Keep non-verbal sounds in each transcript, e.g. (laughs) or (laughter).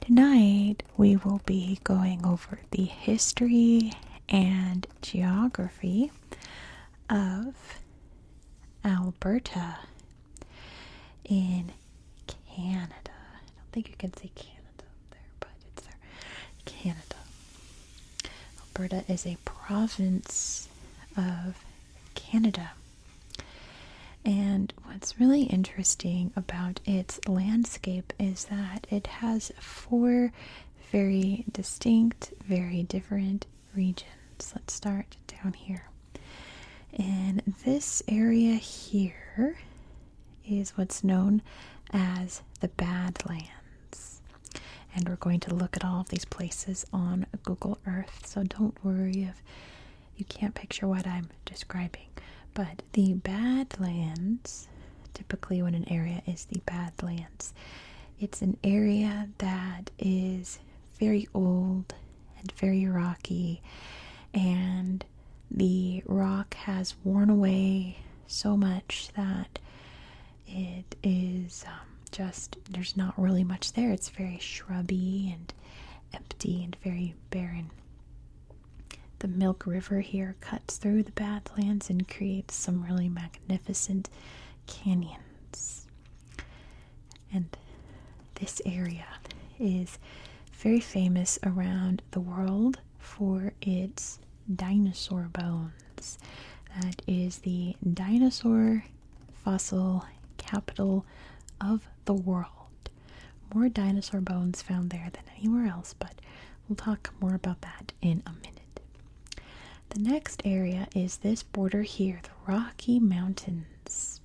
Tonight we will be going over the history and geography of Alberta in Canada. I don't think you can see Canada there, but it's there. Canada. Alberta is a province of Canada. And what's really interesting about its landscape is that it has four very distinct, very different regions. Let's start down here. And this area here is what's known as the Badlands. And we're going to look at all of these places on Google Earth. So don't worry if you can't picture what I am describing. But the Badlands, typically when an area is the Badlands, it's an area that is very old and very rocky, and the rock has worn away so much that it is um, just there's not really much there. It's very shrubby and empty and very barren. The Milk River here cuts through the Badlands and creates some really magnificent canyons. And this area is very famous around the world for its dinosaur bones. That is the dinosaur fossil capital of the world. More dinosaur bones found there than anywhere else, but we'll talk more about that in a minute. The next area is this border here, the Rocky Mountains,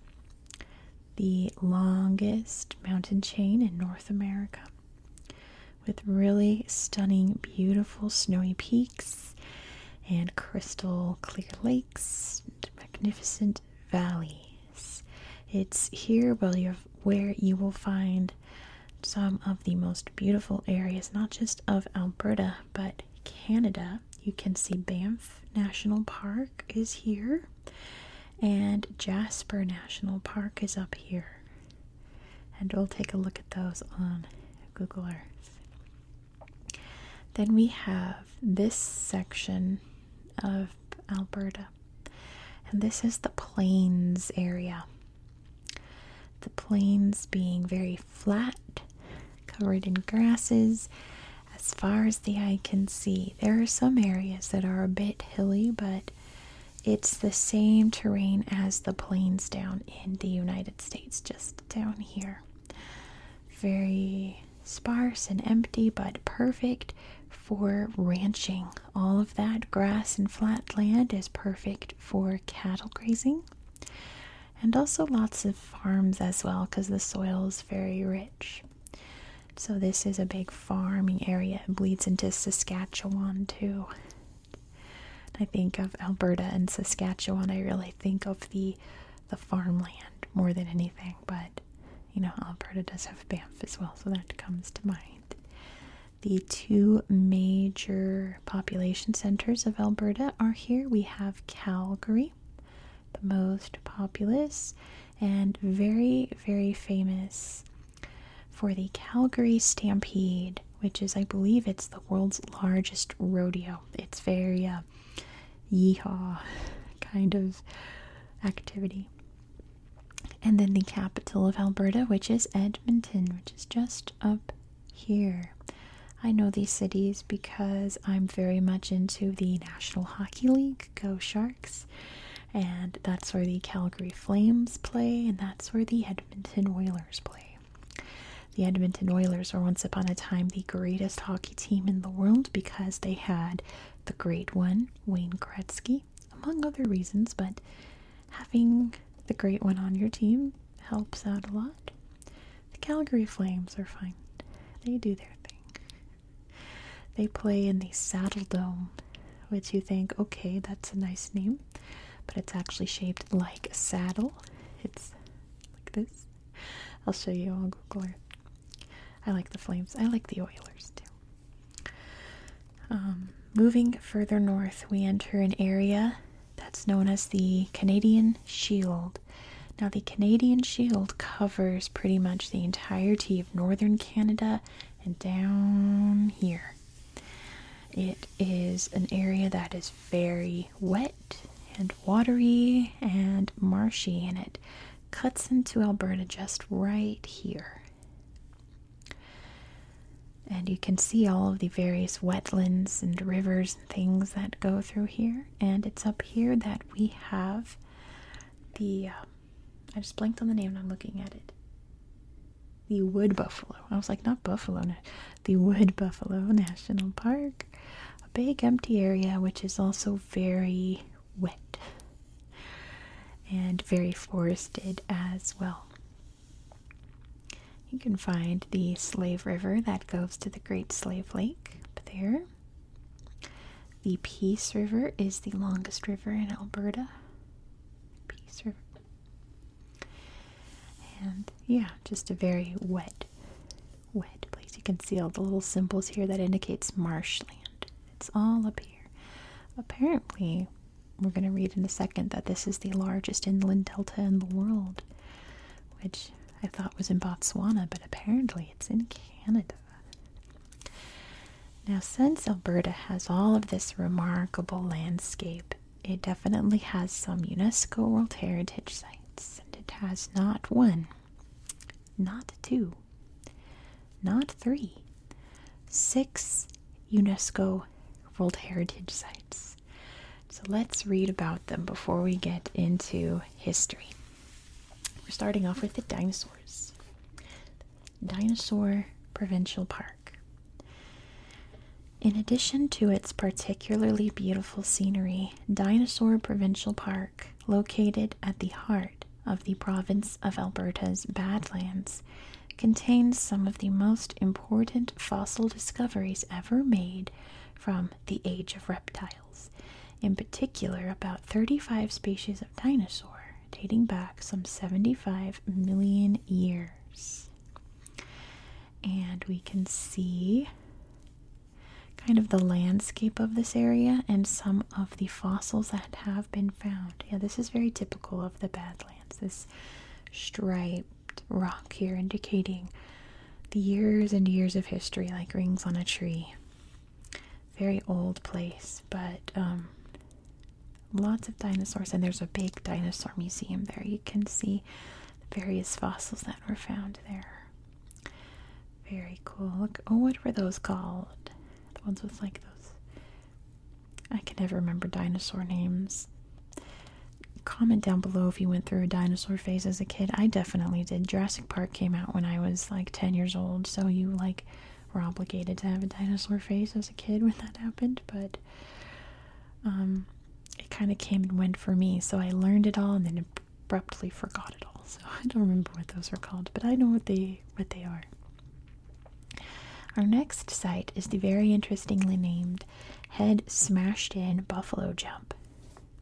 the longest mountain chain in North America, with really stunning, beautiful snowy peaks and crystal clear lakes and magnificent valley it's here where you will find some of the most beautiful areas, not just of Alberta, but Canada. You can see Banff National Park is here, and Jasper National Park is up here. And we'll take a look at those on Google Earth. Then we have this section of Alberta. And this is the plains area. The plains being very flat, covered in grasses as far as the eye can see. There are some areas that are a bit hilly, but it's the same terrain as the plains down in the United States, just down here. Very sparse and empty, but perfect for ranching. All of that grass and flat land is perfect for cattle grazing. And also lots of farms as well because the soil is very rich. So, this is a big farming area. It bleeds into Saskatchewan too. I think of Alberta and Saskatchewan, I really think of the the farmland more than anything, but you know, Alberta does have Banff as well, so that comes to mind. The two major population centers of Alberta are here. We have Calgary, the most populous and very, very famous for the Calgary Stampede, which is, I believe, it's the world's largest rodeo. It's very uh, yeehaw (laughs) kind of activity and then the capital of Alberta, which is Edmonton, which is just up here. I know these cities because I'm very much into the National Hockey League, Go Sharks, and that's where the Calgary Flames play, and that's where the Edmonton Oilers play. The Edmonton Oilers were once upon a time the greatest hockey team in the world because they had the great one, Wayne Gretzky among other reasons, but having the great one on your team helps out a lot. The Calgary Flames are fine. They do their thing. They play in the Saddle Dome, which you think, okay, that's a nice name, but it's actually shaped like a saddle. It's like this. I'll show you on Google Earth. I like the Flames. I like the Oilers too. Um, moving further north, we enter an area that's known as the Canadian Shield. Now, the Canadian Shield covers pretty much the entirety of northern Canada and down here. It is an area that is very wet and watery and marshy, and it cuts into Alberta just right here. And you can see all of the various wetlands and rivers and things that go through here. And it's up here that we have the. Uh, I just blanked on the name I'm looking at it. The Wood Buffalo. I was like, not Buffalo. The Wood Buffalo National Park. A big empty area which is also very wet and very forested as well. You can find the Slave River that goes to the Great Slave Lake up there. The Peace River is the longest river in Alberta. Peace River. And yeah, just a very wet, wet place. You can see all the little symbols here that indicates marshland. It's all up here. Apparently, we're going to read in a second that this is the largest inland delta in the world, which I thought was in Botswana, but apparently it's in Canada. Now, since Alberta has all of this remarkable landscape, it definitely has some UNESCO World Heritage Sites, and it has not one, not two, not three, six UNESCO World Heritage Sites. So let's read about them before we get into history. We're starting off with the dinosaurs. Dinosaur Provincial Park. In addition to its particularly beautiful scenery, Dinosaur Provincial Park, located at the heart of the province of Alberta's Badlands, contains some of the most important fossil discoveries ever made from the age of reptiles, in particular about 35 species of dinosaur dating back some 75 million years. And we can see kind of the landscape of this area and some of the fossils that have been found. Yeah, this is very typical of the Badlands lands. This striped rock here indicating the years and years of history, like rings on a tree. Very old place, but um, lots of dinosaurs, and there's a big dinosaur museum there. You can see the various fossils that were found there. Very cool. oh, what were those called? The ones with like those I can never remember dinosaur names. Comment down below if you went through a dinosaur phase as a kid. I definitely did. Jurassic Park came out when I was like 10 years old, so you like were obligated to have a dinosaur phase as a kid when that happened, but um, it kind of came and went for me. So I learned it all and then abruptly forgot it all. So I don't remember what those are called, but I know what they what they are. Our next site is the very interestingly named Head Smashed In Buffalo Jump.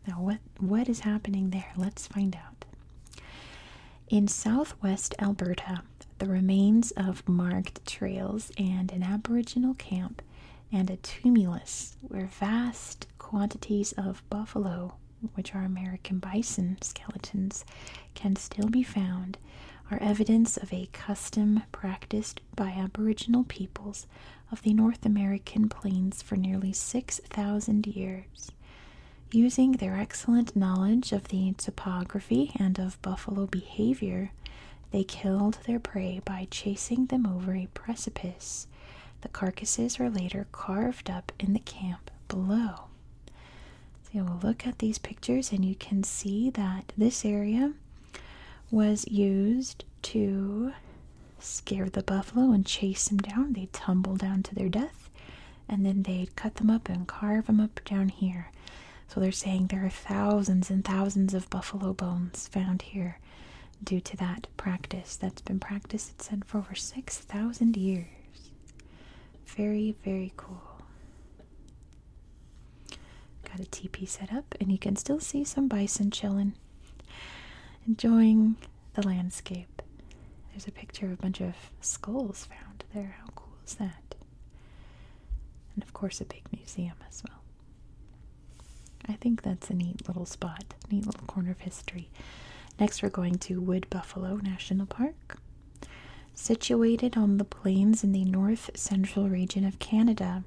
Now, what, what is happening there? Let's find out. In southwest Alberta, the remains of marked trails and an Aboriginal camp and a tumulus where vast quantities of buffalo, which are American bison skeletons, can still be found are evidence of a custom practiced by Aboriginal peoples of the North American plains for nearly 6,000 years. Using their excellent knowledge of the topography and of buffalo behavior, they killed their prey by chasing them over a precipice. The carcasses were later carved up in the camp below. So we will look at these pictures and you can see that this area was used to scare the buffalo and chase them down. they tumble down to their death and then they'd cut them up and carve them up down here. So they're saying there are thousands and thousands of buffalo bones found here due to that practice that's been practiced, it said, for over 6,000 years. Very, very cool. Got a teepee set up, and you can still see some bison chilling, enjoying the landscape. There's a picture of a bunch of skulls found there. How cool is that? And of course, a big museum as well. I think that's a neat little spot, neat little corner of history. Next, we're going to Wood Buffalo National Park. Situated on the plains in the north central region of Canada,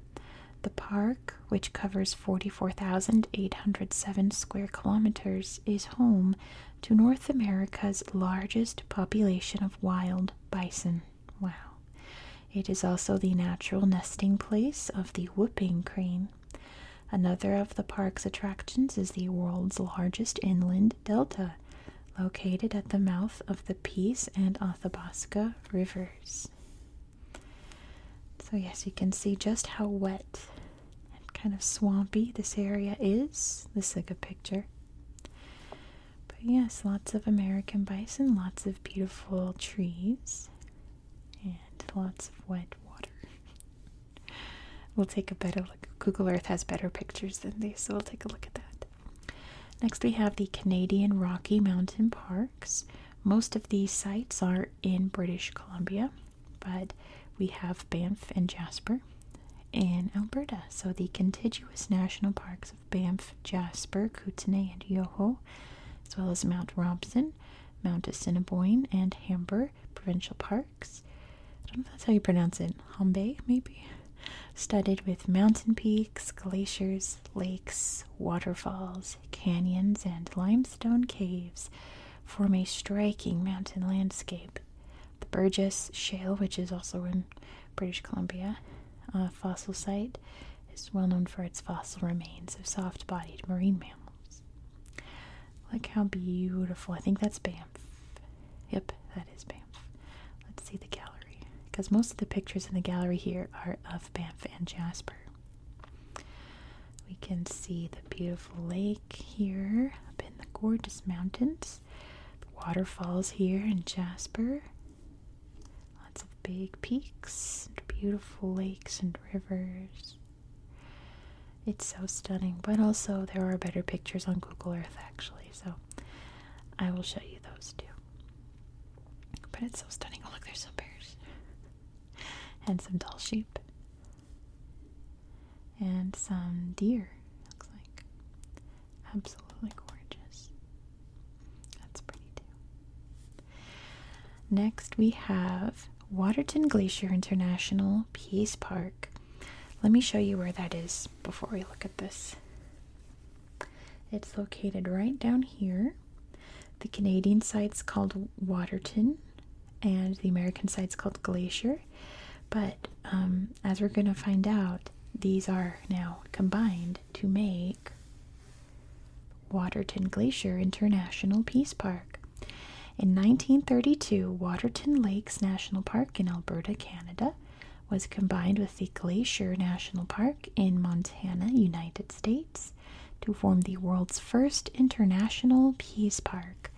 the park, which covers 44,807 square kilometers, is home to North America's largest population of wild bison. Wow. It is also the natural nesting place of the whooping crane. Another of the park's attractions is the world's largest inland delta, located at the mouth of the Peace and Athabasca rivers. So, yes, you can see just how wet and kind of swampy this area is. This is a picture. But, yes, lots of American bison, lots of beautiful trees, and lots of wet water. We'll take a better look. Google Earth has better pictures than these, so we'll take a look at that. Next, we have the Canadian Rocky Mountain Parks. Most of these sites are in British Columbia, but we have Banff and Jasper in Alberta. So, the contiguous national parks of Banff, Jasper, Kootenay, and Yoho, as well as Mount Robson, Mount Assiniboine, and Humber provincial parks. I don't know if that's how you pronounce it. Hombe, maybe? studded with mountain peaks, glaciers, lakes, waterfalls, canyons, and limestone caves, form a striking mountain landscape. The Burgess Shale, which is also in British Columbia, a fossil site, is well known for its fossil remains of soft bodied marine mammals. Look how beautiful. I think that's Banff. Yep, that is Banff let's see the gallery because most of the pictures in the gallery here are of Banff and Jasper. We can see the beautiful lake here up in the gorgeous mountains, the waterfalls here in Jasper, lots of big peaks, and beautiful lakes and rivers. It's so stunning, but also there are better pictures on Google Earth actually, so I will show you those too. But it's so stunning. Oh, look, there's some bears. and some dull sheep. And some deer, looks like. Absolutely gorgeous. That's pretty too. Next, we have Waterton Glacier International Peace Park. Let me show you where that is before we look at this. It's located right down here. The Canadian site's called Waterton, and the American site's called Glacier. But um, as we're going to find out, these are now combined to make Waterton Glacier International Peace Park. In 1932, Waterton Lakes National Park in Alberta, Canada was combined with the Glacier National Park in Montana, United States, to form the world's first international peace park,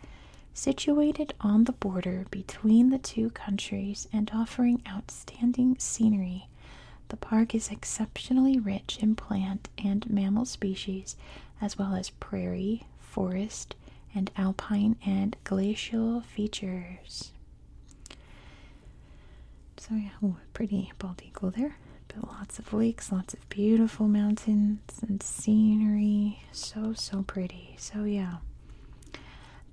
situated on the border between the two countries and offering outstanding scenery. The park is exceptionally rich in plant and mammal species, as well as prairie, forest, and alpine and glacial features. So yeah, pretty bald eagle there. But lots of lakes, lots of beautiful mountains and scenery. So, so pretty. So yeah,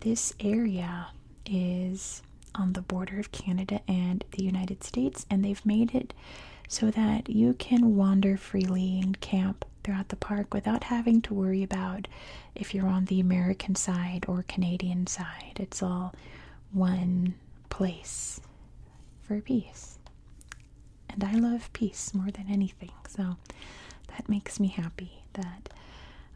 this area is on the border of Canada and the United States, and they've made it so that you can wander freely and camp throughout the park without having to worry about if you're on the American side or Canadian side. It's all one place for peace. And I love peace more than anything. So that makes me happy that,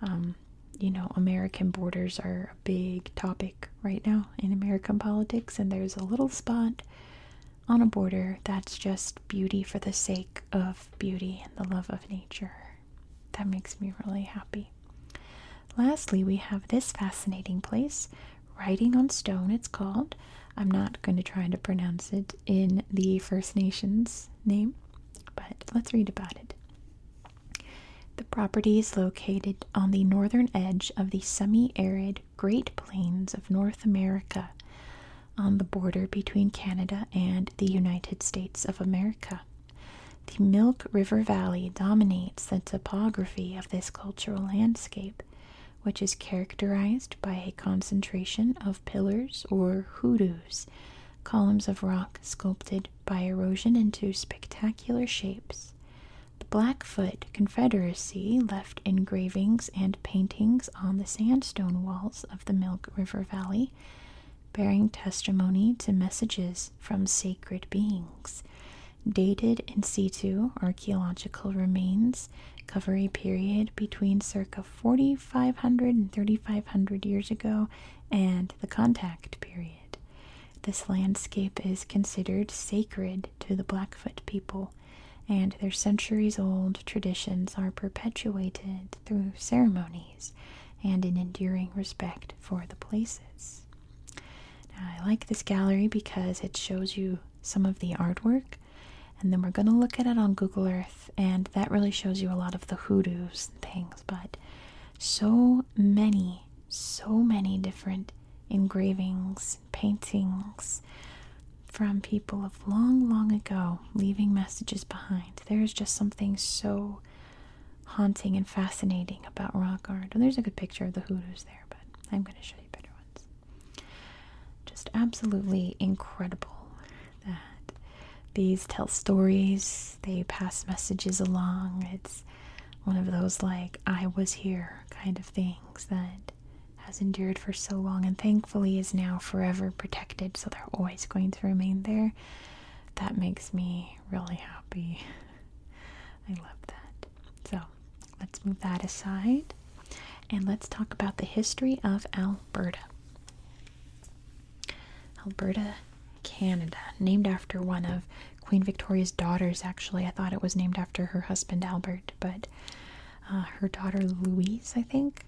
um, you know, American borders are a big topic right now in American politics. And there's a little spot on a border that's just beauty for the sake of beauty and the love of nature. That makes me really happy. Lastly, we have this fascinating place, Writing on Stone, it's called. I'm not going to try to pronounce it in the First Nations name, but let's read about it. The property is located on the northern edge of the semi arid Great Plains of North America, on the border between Canada and the United States of America. The Milk River Valley dominates the topography of this cultural landscape, which is characterized by a concentration of pillars or hoodoos, columns of rock sculpted by erosion into spectacular shapes. The Blackfoot Confederacy left engravings and paintings on the sandstone walls of the Milk River Valley, bearing testimony to messages from sacred beings. Dated in situ archaeological remains cover a period between circa 4500 3500 years ago and the contact period. This landscape is considered sacred to the Blackfoot people, and their centuries old traditions are perpetuated through ceremonies and an enduring respect for the places. Now, I like this gallery because it shows you some of the artwork, and then we're going to look at it on Google Earth, and that really shows you a lot of the hoodoos and things. But so many, so many different engravings, paintings from people of long, long ago, leaving messages behind. There is just something so haunting and fascinating about rock art. there's a good picture of the hoodoos there, but I'm going to show you better ones. Just absolutely incredible that these tell stories, they pass messages along. It's one of those, like, I was here kind of things that has endured for so long and thankfully is now forever protected, so they're always going to remain there. That makes me really happy. I love that. So let's move that aside and let's talk about the history of Alberta. Alberta, Canada, named after one of Queen Victoria's daughters, actually. I thought it was named after her husband Albert, but uh, her daughter Louise, I think.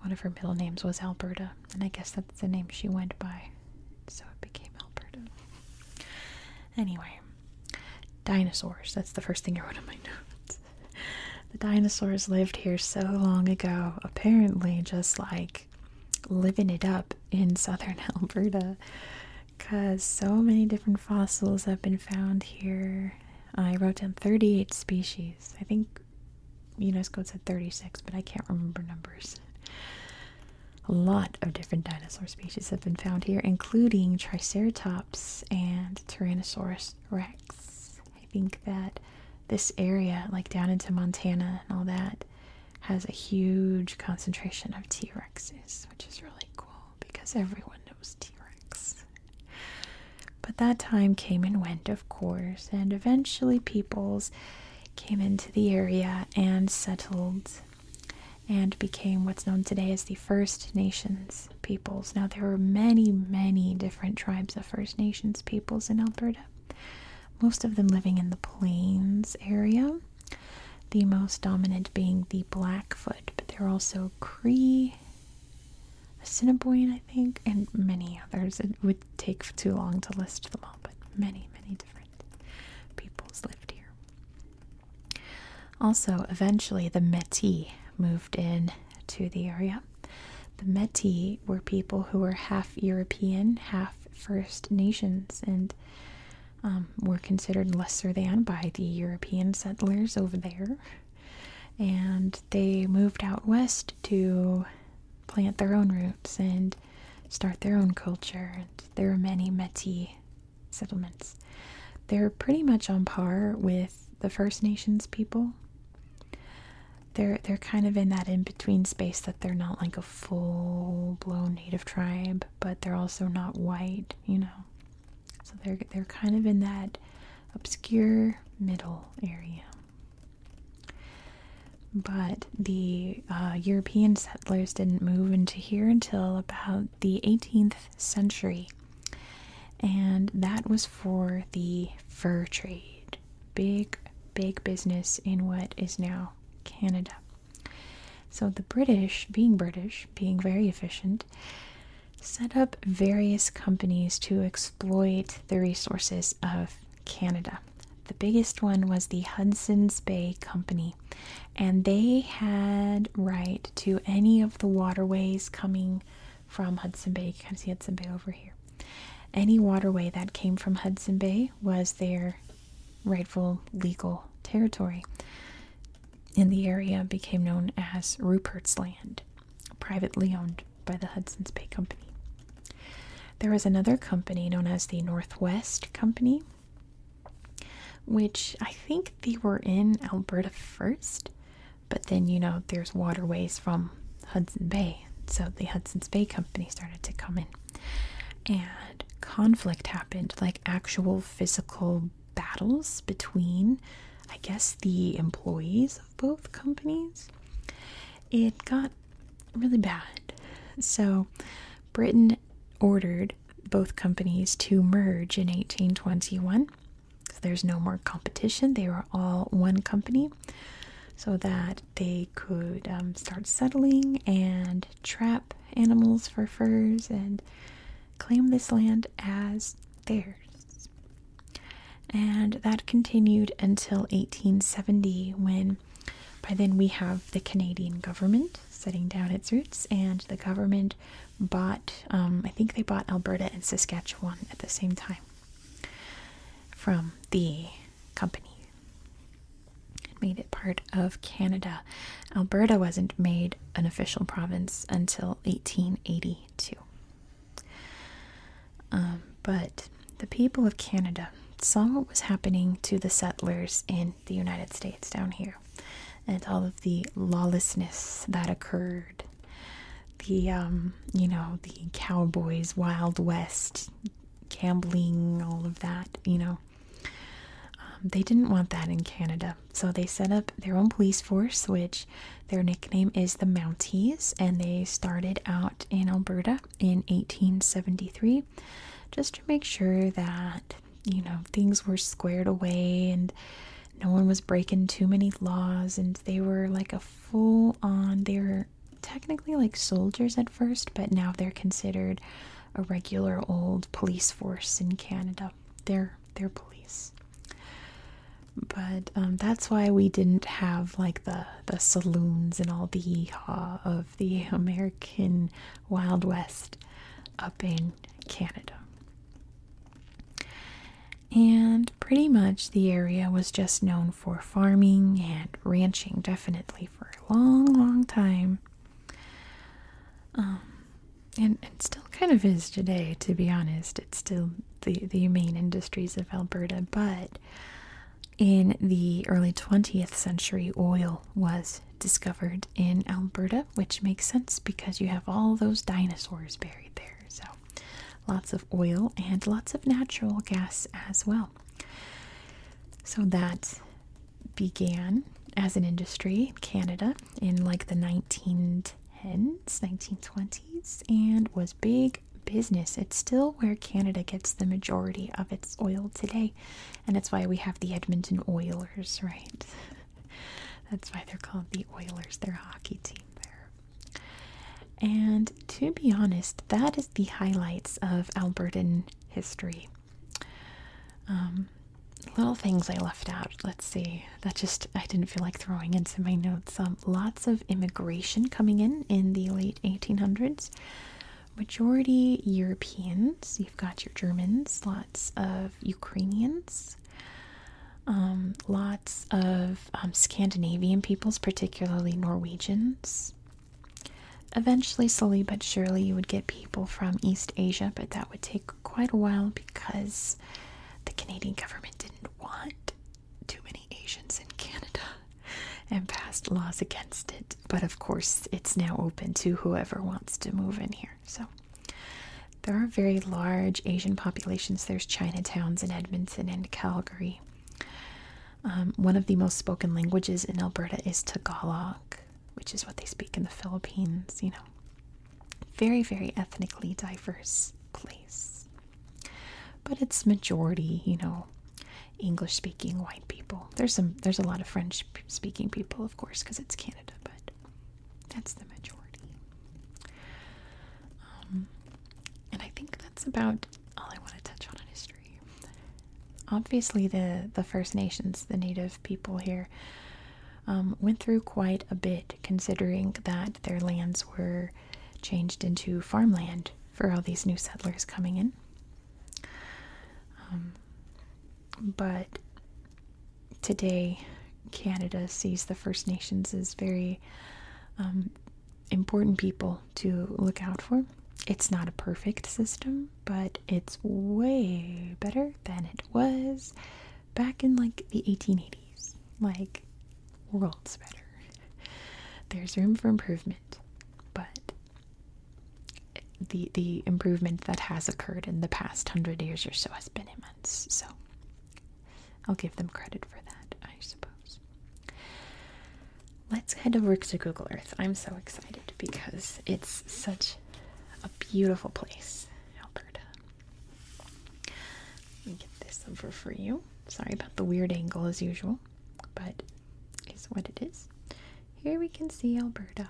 One of her middle names was Alberta, and I guess that's the name she went by. So it became Alberta. Anyway, dinosaurs. That's the first thing I wrote on my notes. the dinosaurs lived here so long ago, apparently, just like living it up in southern (laughs) Alberta. Because so many different fossils have been found here. I wrote down 38 species. I think UNESCO said 36, but I can't remember numbers. A lot of different dinosaur species have been found here, including Triceratops and Tyrannosaurus rex. I think that this area, like down into Montana and all that, has a huge concentration of T Rexes, which is really cool because everyone knows T Rex. But that time came and went, of course, and eventually peoples came into the area and settled and became what's known today as the First Nations peoples. Now, there were many, many different tribes of First Nations peoples in Alberta, most of them living in the Plains area, the most dominant being the Blackfoot, but there are also Cree. Assiniboine, I think, and many others. It would take too long to list them all, but many, many different peoples lived here. Also, eventually, the Metis moved in to the area. The Metis were people who were half European, half First Nations, and um, were considered lesser than by the European settlers over there. And they moved out west to plant their own roots and start their own culture. And there are many Metis settlements. They're pretty much on par with the First Nations people. They're they're kind of in that in-between space that they're not like a full-blown native tribe, but they're also not white, you know. So they're they're kind of in that obscure middle area. But the uh, European settlers didn't move into here until about the 18th century, and that was for the fur trade. Big, big business in what is now Canada. So the British, being British, being very efficient, set up various companies to exploit the resources of Canada. The biggest one was the Hudson's Bay Company and they had right to any of the waterways coming from Hudson Bay. You can see Hudson Bay over here. Any waterway that came from Hudson Bay was their rightful legal territory. And the area became known as Rupert's Land, privately owned by the Hudson's Bay Company. There was another company known as the Northwest Company which I think they were in Alberta first, but then you know there's waterways from Hudson Bay, so the Hudson's Bay Company started to come in, and conflict happened like actual physical battles between, I guess, the employees of both companies. It got really bad. So, Britain ordered both companies to merge in 1821. So there's no more competition. They were all one company so that they could um, start settling and trap animals for furs and claim this land as theirs. And that continued until 1870 when by then we have the Canadian government setting down its roots, and the government bought, um, I think they bought Alberta and Saskatchewan at the same time from the company. It made it part of Canada. Alberta wasn't made an official province until 1882. Um, but the people of Canada saw what was happening to the settlers in the United States down here and all of the lawlessness that occurred. The, um, you know, the cowboys, Wild West, gambling, all of that, you know. Um, they didn't want that in Canada, so they set up their own police force, which their nickname is the Mounties, and they started out in Alberta in 1873 just to make sure that you know things were squared away and no one was breaking too many laws and they were like a full on they were technically like soldiers at first but now they're considered a regular old police force in Canada they're they're police but um, that's why we didn't have like the the saloons and all the uh, the American Wild West up in Canada. And pretty much the area was just known for farming and ranching, definitely for a long, long time. Um, and it still kind of is today, to be honest. It's still the, the main industries of Alberta, but in the early 20th century, oil was discovered in Alberta which makes sense because you have all those dinosaurs buried there. So, lots of oil and lots of natural gas as well. So, that began as an industry, Canada, in like the 1910s, 1920s, and was big business. It's still where Canada gets the majority of its oil today and it's why we have the Edmonton Oilers, right? (laughs) That's why they're called the Oilers, their hockey team there. And to be honest, that is the highlights of Albertan history. Um, little things I left out. Let's see. That just, I didn't feel like throwing into my notes. Um, lots of immigration coming in in the late 1800s. Majority Europeans. You've got your Germans, lots of Ukrainians, um, lots of um, Scandinavian peoples, particularly Norwegians. Eventually, slowly but surely, you would get people from East Asia, but that would take quite a while because the Canadian government didn't want too many Asians in Canada (laughs) and passed laws against it. But of course, it's now open to whoever wants to move in here. So there are very large Asian populations. There's Chinatowns in Edmonton and Calgary. Um, one of the most spoken languages in Alberta is Tagalog, which is what they speak in the Philippines, you know. Very, very ethnically diverse place. But it's majority, you know, English speaking white people. There's some there's a lot of French speaking people, of course, because it's Canada, but that's the majority. Um, and I think that's about all I want to touch on in history. Obviously, the the First Nations, the Native people here, um, went through quite a bit, considering that their lands were changed into farmland for all these new settlers coming in. Um, but today Canada sees the First Nations as very um, important people to look out for. It's not a perfect system, but it's way better than it was back in like the 1880s. Like, worlds better. There's room for improvement, but the the improvement that has occurred in the past hundred years or so has been immense. So I'll give them credit for that, I suppose. Let's head over to Google Earth. I'm so excited because it's such a beautiful place, Alberta. Let me get this over for you. Sorry about the weird angle as usual, but it's what it is. Here we can see Alberta.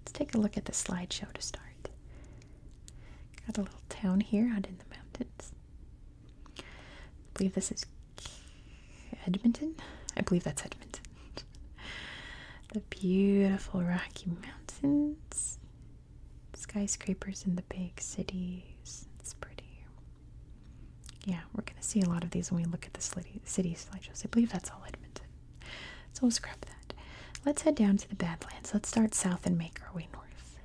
Let's take a look at the slideshow to start. Got a little town here out in the mountains. I believe this is Edmonton. I believe that's Edmonton. (laughs) the beautiful Rocky Mountains. Skyscrapers in the big cities. It's pretty. Yeah, we're going to see a lot of these when we look at the city slideshows. I believe that's all Edmonton. So we'll scrap that. Let's head down to the Badlands. Let's start south and make our way north.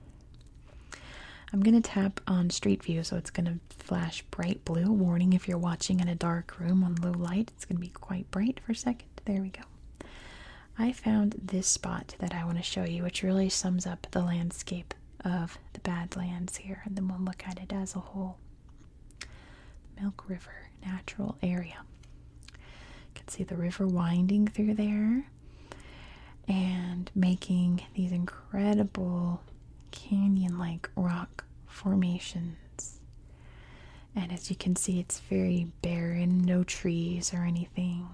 I'm going to tap on Street View so it's going to flash bright blue. Warning if you're watching in a dark room on low light, it's going to be quite bright for a second. There we go. I found this spot that I want to show you, which really sums up the landscape of the Badlands here, and then we'll look at it as a whole. Milk River Natural Area. You can see the river winding through there and making these incredible canyon like rock formations. And as you can see, it's very barren, no trees or anything.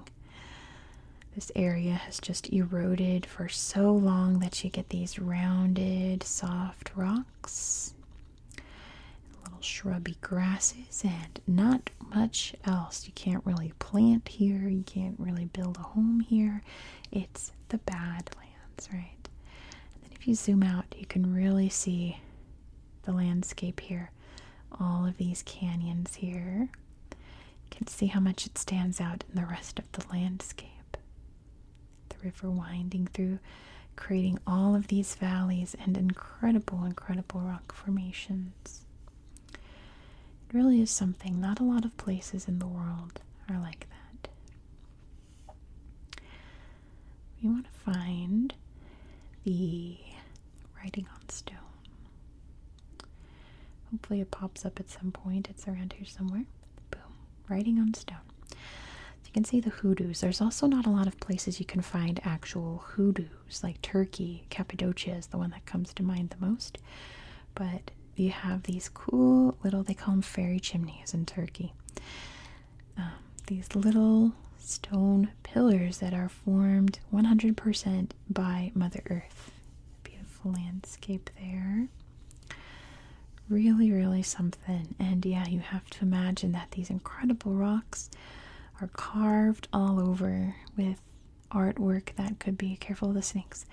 This area has just eroded for so long that you get these rounded, soft rocks little shrubby grasses and not much else. You can't really plant here, you can't really build a home here. It's the Badlands, right? And then if you zoom out, you can really see the landscape here. All of these canyons here. You can see how much it stands out in the rest of the landscape the river winding through, creating all of these valleys and incredible, incredible rock formations. It really is something, not a lot of places in the world are like that. We want to find the writing on stone. Hopefully, it pops up at some point. It's around here somewhere. Boom writing on stone. You can see the hoodoos. There's also not a lot of places you can find actual hoodoos, like Turkey. Cappadocia is the one that comes to mind the most. But you have these cool little, they call them fairy chimneys in Turkey. Um, these little stone pillars that are formed 100% by Mother Earth. Beautiful landscape there. Really, really something. And yeah, you have to imagine that these incredible rocks are carved all over with artwork that could be careful of the snakes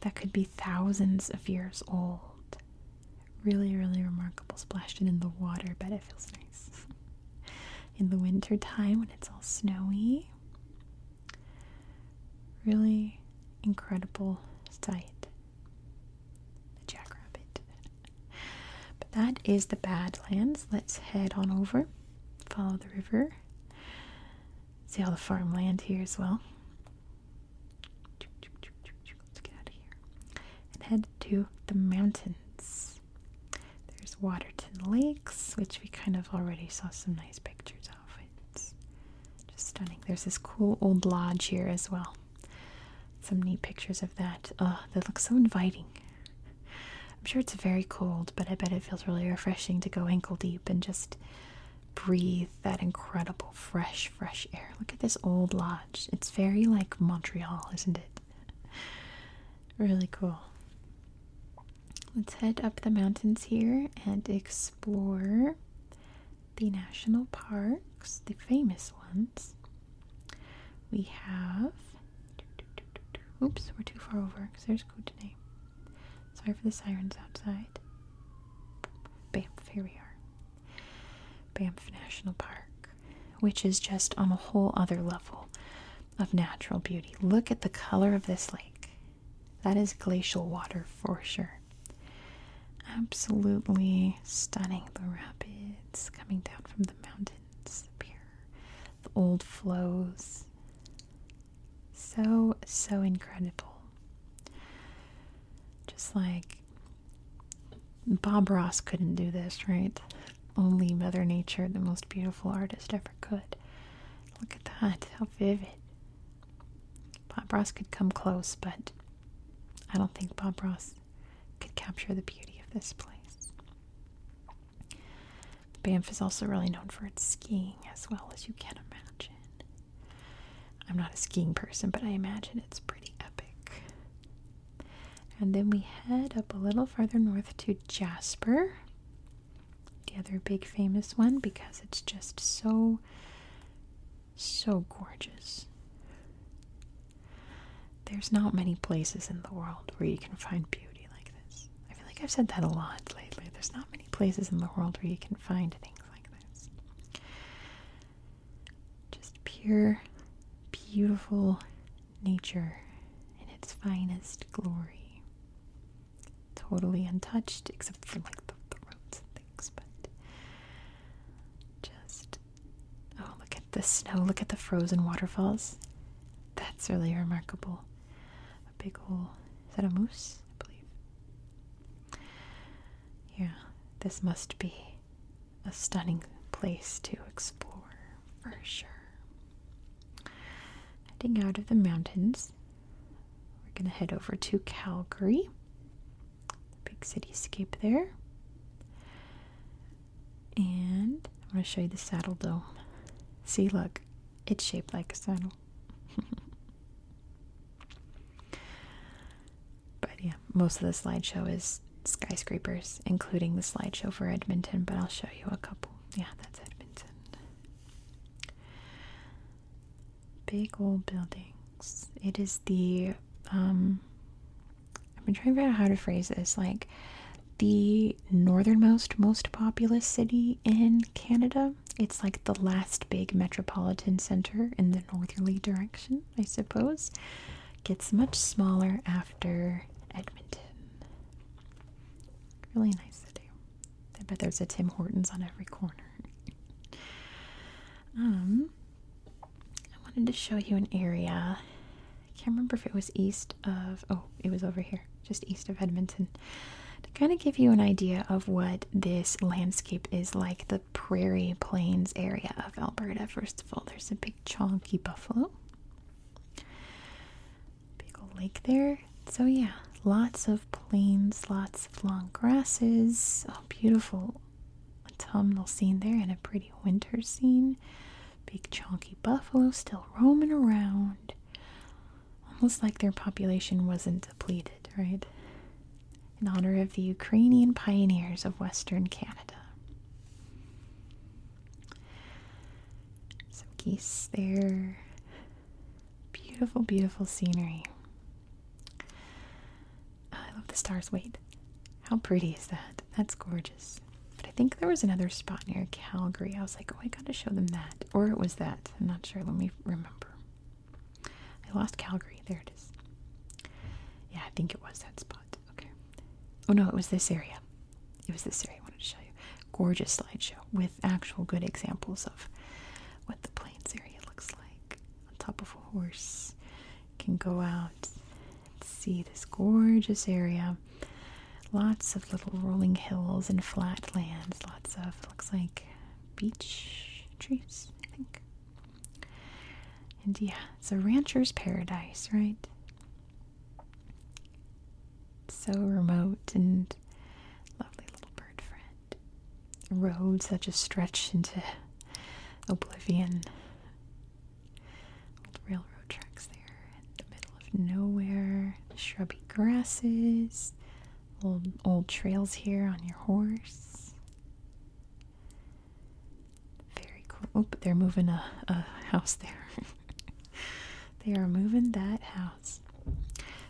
that could be thousands of years old. Really, really remarkable. Splashed it in the water, but it feels nice. (laughs) in the winter time when it's all snowy. Really incredible sight the jackrabbit. but that is the Badlands. Let's head on over, follow the river, see all the farmland here as well. Let's get out of here and head to the mountains. There's Waterton Lakes, which we kind of already saw some nice pictures of. It's just stunning. There's this cool old lodge here as well. Some neat pictures of that. Oh, that looks so inviting. I'm sure it's very cold, but I bet it feels really refreshing to go ankle deep and just breathe that incredible fresh, fresh air. Look at this old lodge. It's very like Montreal, isn't it? Really cool. Let's head up the mountains here and explore the national parks, the famous ones. We have. Oops, we're too far over because there's code Kootenay. Sorry for the sirens outside. Bamf, here we are. Bamf National Park, which is just on a whole other level of natural beauty. Look at the color of this lake. That is glacial water for sure. Absolutely stunning. The rapids coming down from the mountains up the old flows. So, so incredible. Just like Bob Ross couldn't do this, right? Only Mother Nature, the most beautiful artist, ever could. Look at that, how vivid. Bob Ross could come close, but I don't think Bob Ross could capture the beauty of this place. Banff is also really known for its skiing, as well as you can imagine. I'm not a skiing person, but I imagine it's pretty epic. And then we head up a little farther north to Jasper, the other big famous one, because it's just so, so gorgeous. There's not many places in the world where you can find beauty like this. I feel like I've said that a lot lately. There's not many places in the world where you can find things like this. Just pure, beautiful nature in its finest glory. Totally untouched, except for like the, roads and things, but just Oh, look at the snow. Look at the frozen waterfalls. That's really remarkable. A big hole. Is that a moose? I believe. Yeah, this must be a stunning place to explore for sure. Heading out of the mountains, we're going to head over to Calgary. Big cityscape there. And I'm going to show you the saddle dome. See, look, it's shaped like a saddle. (laughs) but yeah, most of the slideshow is skyscrapers, including the slideshow for Edmonton, but I'll show you a couple. Yeah, that's Edmonton. Big old buildings. It is the um, I've been trying to figure out how to phrase this. Like the northernmost, most populous city in Canada. It's like the last big metropolitan center in the northerly direction, I suppose. Gets much smaller after Edmonton. Really nice city. I bet there's a Tim Hortons on every corner. (laughs) um, I wanted to show you an area. I can't remember if it was east of, oh, it was over here, just east of Edmonton. To kind of give you an idea of what this landscape is like, the prairie plains area of Alberta. First of all, there's a big chunky buffalo, big lake there. So, yeah, lots of plains, lots of long grasses, oh, beautiful autumnal scene there, and a pretty winter scene. Big chunky buffalo still roaming around. Almost like their population wasn't depleted, right? In honor of the Ukrainian pioneers of Western Canada. Some geese there. Beautiful, beautiful scenery. I love the stars. Wait, how pretty is that? That's gorgeous. But I think there was another spot near Calgary. I was like, oh, I gotta show them that. Or it was that. I'm not sure. Let me remember. I lost Calgary. There it is. Yeah, I think it was that spot. Okay. Oh no, it was this area. It was this area I wanted to show you. Gorgeous slideshow with actual good examples of what the plains area looks like. On top of a horse. can go out Let's see this gorgeous area. Lots of little rolling hills and flat lands. Lots of, looks like beach trees, I think. And yeah, it's a rancher's paradise, right? So remote and lovely little bird friend. Roads that just stretch into oblivion. Old railroad tracks there in the middle of nowhere. Shrubby grasses. Old old trails here on your horse. Very cool. Oh, but they're moving a, a house there. (laughs) they are moving that house.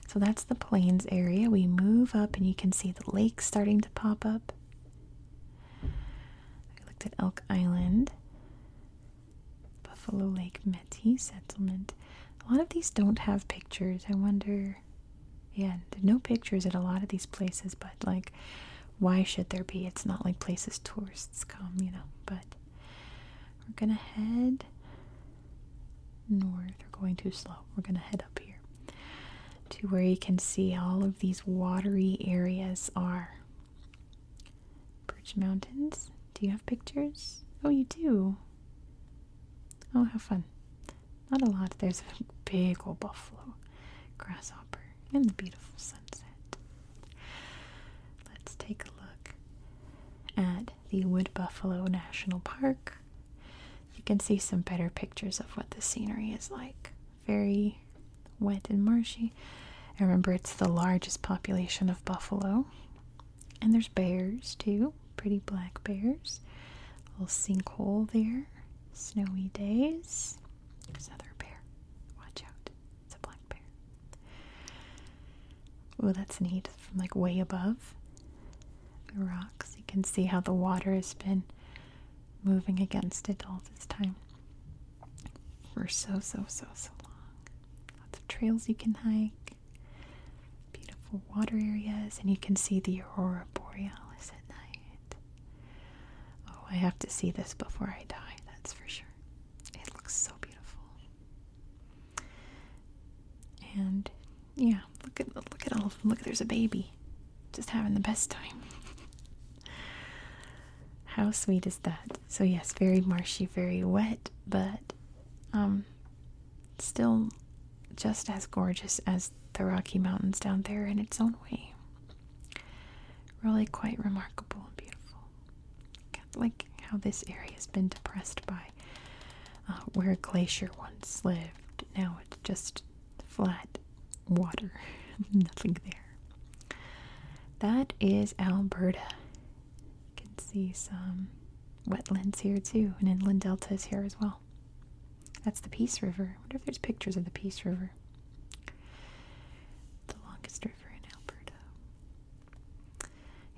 So that's the plains area. We move up and you can see the lakes starting to pop up. I looked at Elk Island. Buffalo Lake Metis settlement. A lot of these don't have pictures. I wonder. Yeah, there's no pictures at a lot of these places, but like, why should there be? It's not like places tourists come, you know. But we're gonna head north. We're going too slow. We're gonna head up here to where you can see all of these watery areas are. Birch Mountains. Do you have pictures? Oh, you do. Oh, how fun. Not a lot. There's a big old buffalo, grasshopper, and the beautiful sunset. Let's take a look at the Wood Buffalo National Park. You can see some better pictures of what the scenery is like very wet and marshy. And remember, it's the largest population of buffalo. And there's bears too, pretty black bears. little sinkhole there. Snowy days. There's another bear. Watch out. It's a black bear. Oh, that's neat. From like way above the rocks, you can see how the water has been moving against it all this time for so, so, so, so long. Lots of trails you can hike, beautiful water areas, and you can see the aurora borealis at night. Oh, I have to see this before I die, that's for sure. It looks so beautiful. And yeah, look at look at all Look, there's a baby, just having the best time. (laughs) How sweet is that? So yes, very marshy, very wet, but um still just as gorgeous as the Rocky Mountains down there in its own way. Really quite remarkable and beautiful. Like how this area has been depressed by uh, where a glacier once lived. Now it's just flat water, (laughs) nothing there. That is Alberta. You can see some wetlands here too, and inland deltas here as well. That's the Peace River. I wonder if there's pictures of the Peace River. The longest river in Alberta.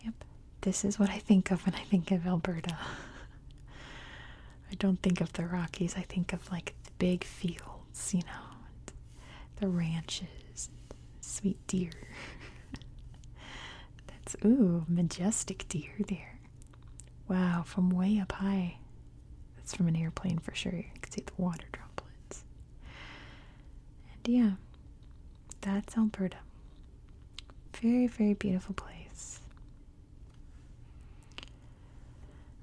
Yep, this is what I think of when I think of Alberta. (laughs) I don't think of the Rockies, I think of like the big fields you know, the ranches, sweet deer. (laughs) That's, ooh, majestic deer there. Wow, from way up high. That's from an airplane for sure. You can see the water droplets. And yeah, that's Alberta. Very, very beautiful place.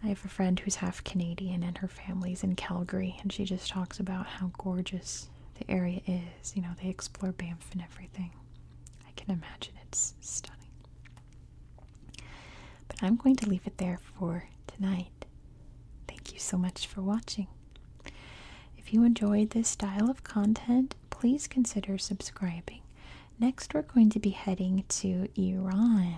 I have a friend who's half Canadian, and her. Families in Calgary, and she just talks about how gorgeous the area is. You know, they explore Banff and everything. I can imagine it's stunning. But I'm going to leave it there for tonight. Thank you so much for watching. If you enjoyed this style of content, please consider subscribing. Next, we're going to be heading to Iran.